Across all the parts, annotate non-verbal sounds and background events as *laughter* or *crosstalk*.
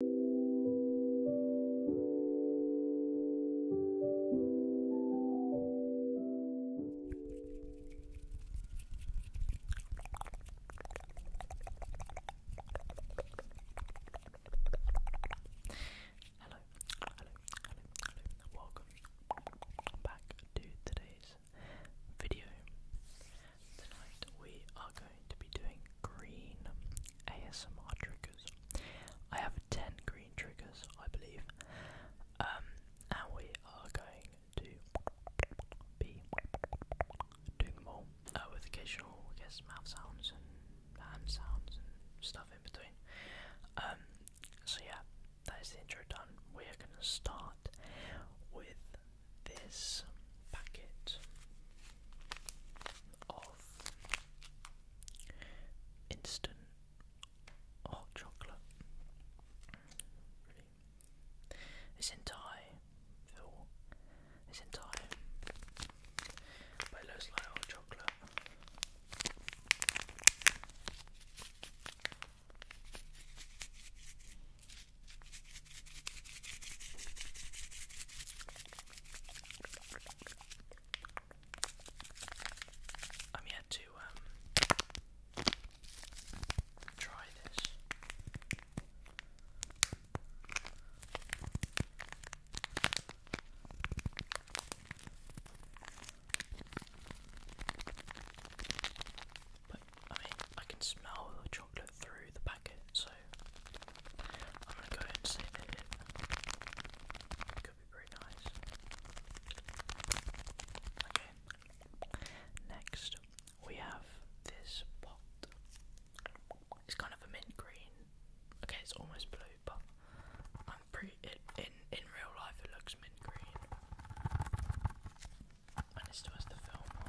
Hello, hello, hello, welcome back to today's video. Tonight we are going to be doing green ASMR triggers. I have 10 green triggers, I believe. Um, and we are going to be doing them uh, all with occasional, I guess, mouth sounds and hand sounds and stuff in between. Um, so yeah, that is the intro done. We are going to start with this packet of instant hot chocolate. Really. This entire fill, this entire, but hot chocolate. I'm yet to um, try this. But I mean, I can smell the chocolate through the packet, so I'm gonna go ahead and say it could be pretty nice. Okay, next we have this pot. It's kind of a mint green. Okay, it's almost blue, but I'm pretty. in in real life, it looks mint green. And it still has the film on.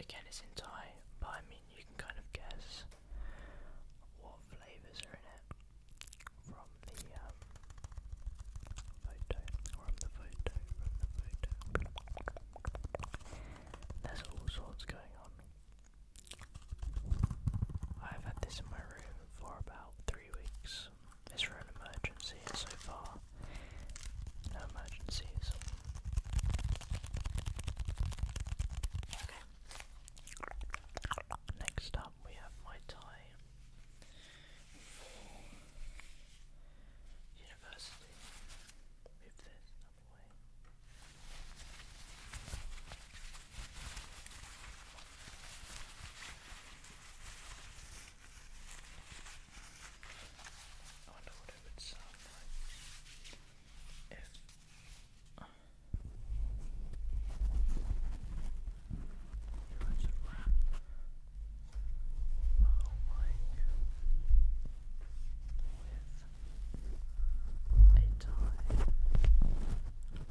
Again, it's in Thai, but I mean, you can kind of guess what flavours are in it from the um, photo, from the photo, from the photo. There's all sorts going on. I've had this in my room for about three weeks. Is an emergency so far? No emergencies. Okay. Next up, we have my tie for university. Move this way. I wonder what it would sound like if. That's a wrap. Oh with a tie loud in here.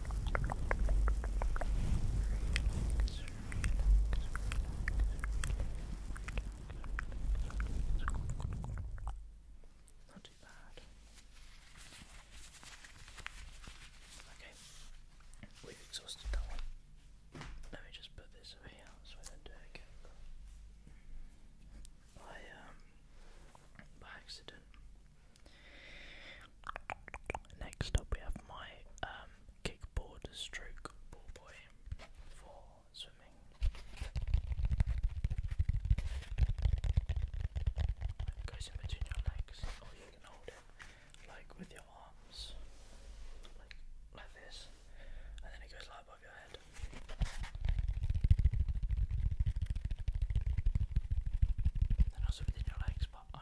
Not too bad. Okay, we exhausted that one. Let me just put this over so I don't do it again. I um by accident Next up, we have my um, kickboard stroke boy for swimming. goes in between your legs, or oh, you can like with your arms, like like this, and then it goes like above your head. And also within your legs, but i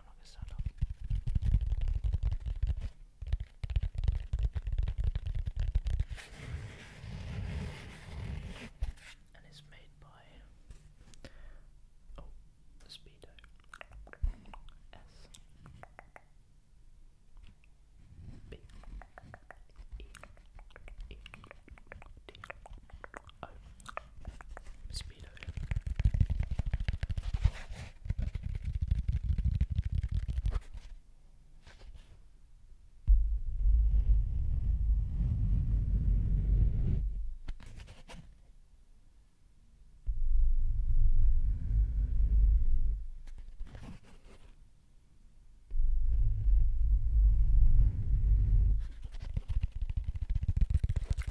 And it's made by oh Speedo S B E E D Speedo.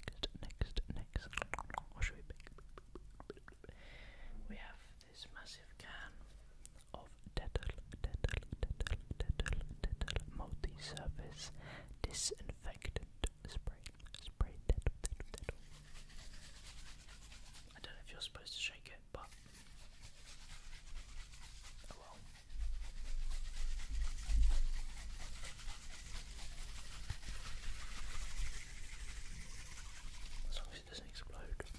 Next, next, next. What should we pick? We have this massive can of Dettol, Dettol, Dettol, Dettol, Dettol multi-surface disinfectant spray. Spray I don't know if you're supposed to shake it, but oh well. As it doesn't explode.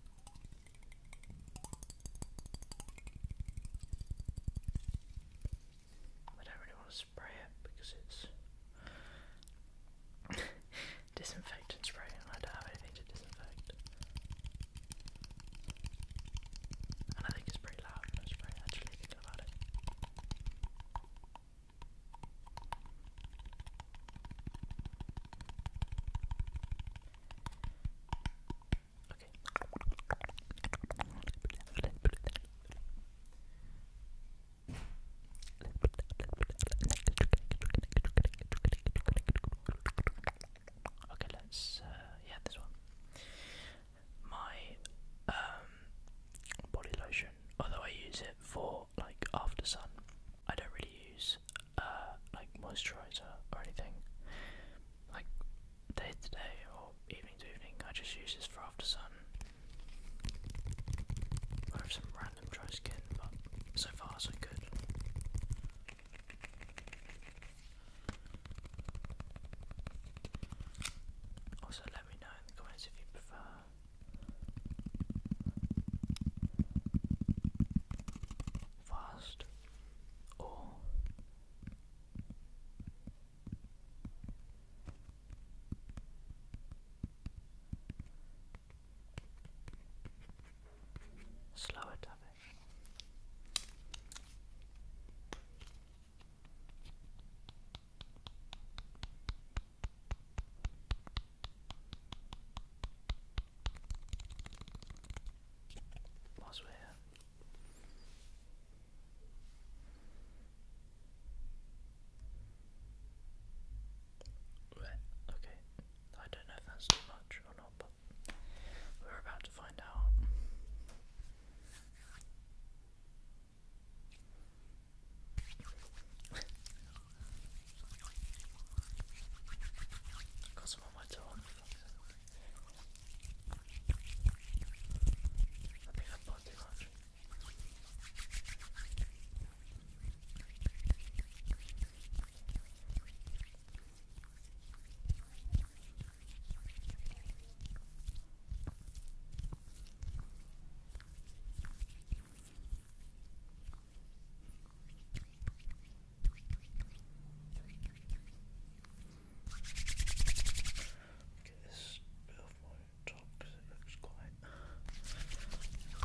I don't really want to spray it because it's *laughs* disinfectant spray and I don't have anything to disinfect. And I think it's pretty loud when I spray actually thinking about it. Okay. Okay, let's uh, yeah, this one. My um, body lotion, although I use it for like after sun, I don't really use uh, like moisturizer or anything. Like day to day or evening to evening, I just use this for after sun. I have some random dry skin, but so far so good. Also, let me know in the comments if you prefer fast or slower tapping. Whilst we okay. I don't know if that's too much or not, but we're about to find out got some on my tongue. I think I've bought too much. Get this off my top it looks quite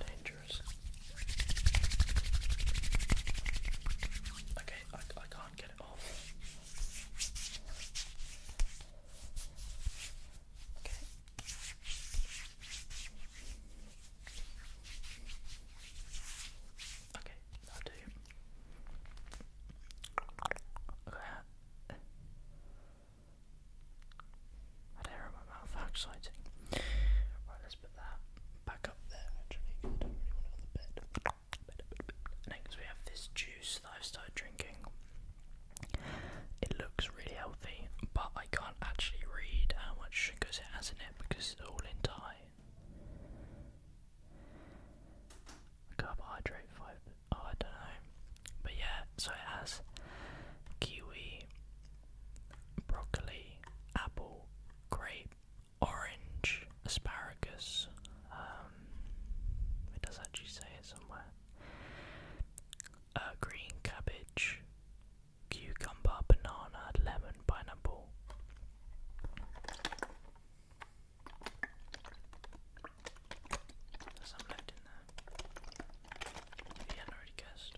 dangerous. Okay, I, I can't get it off. Okay, Okay, I'll do. I don't remember how exciting. Right, let's put that back up there actually, I don't really want on the bed. Next, we have this juice that I've started drinking. It looks really healthy, but I can't actually read how much sugars it has in it because it's all in Thai. Carbohydrate fiber. Oh, I don't know. But yeah, so it has kiwi, broccoli, apple, grape, orange, asparagus. Um, it does actually say it somewhere uh, green cabbage, cucumber, banana, lemon, pineapple. There's some left in there. If hadn't already guessed.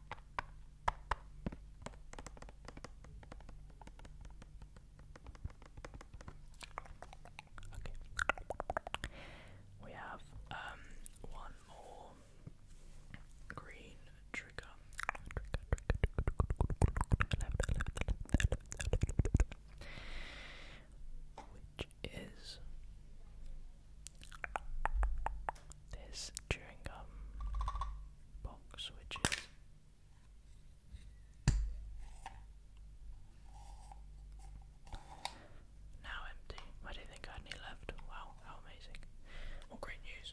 Okay. We have um one more green trigger. Which is there's chewing gum box, which is. Now empty. I didn't think I had any left. Wow, how amazing. What great news.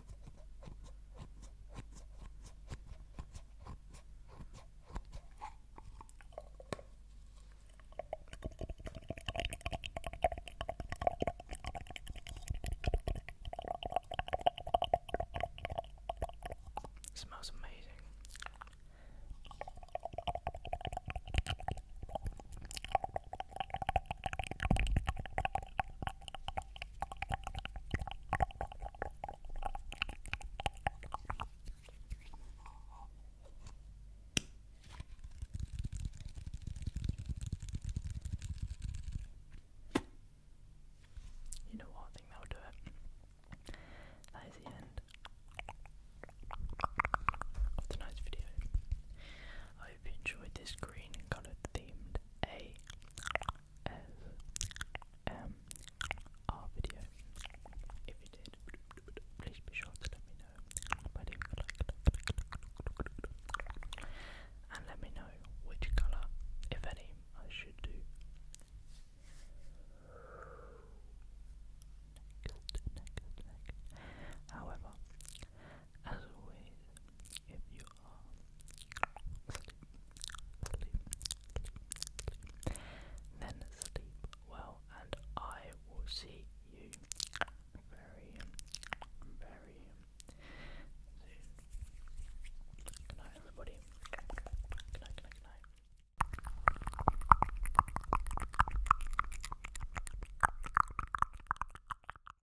It smells amazing. You know what? I think that will do it. That is the end of tonight's video. I hope you enjoyed this green coloured themed A S M R video. If you did, please be sure to let me know by leaving a like and let me know which colour, if any, I should do. However, as always, if you are sleep, then sleep well, and I will see you very, very soon. Good night, everybody. Good night, good night, good night.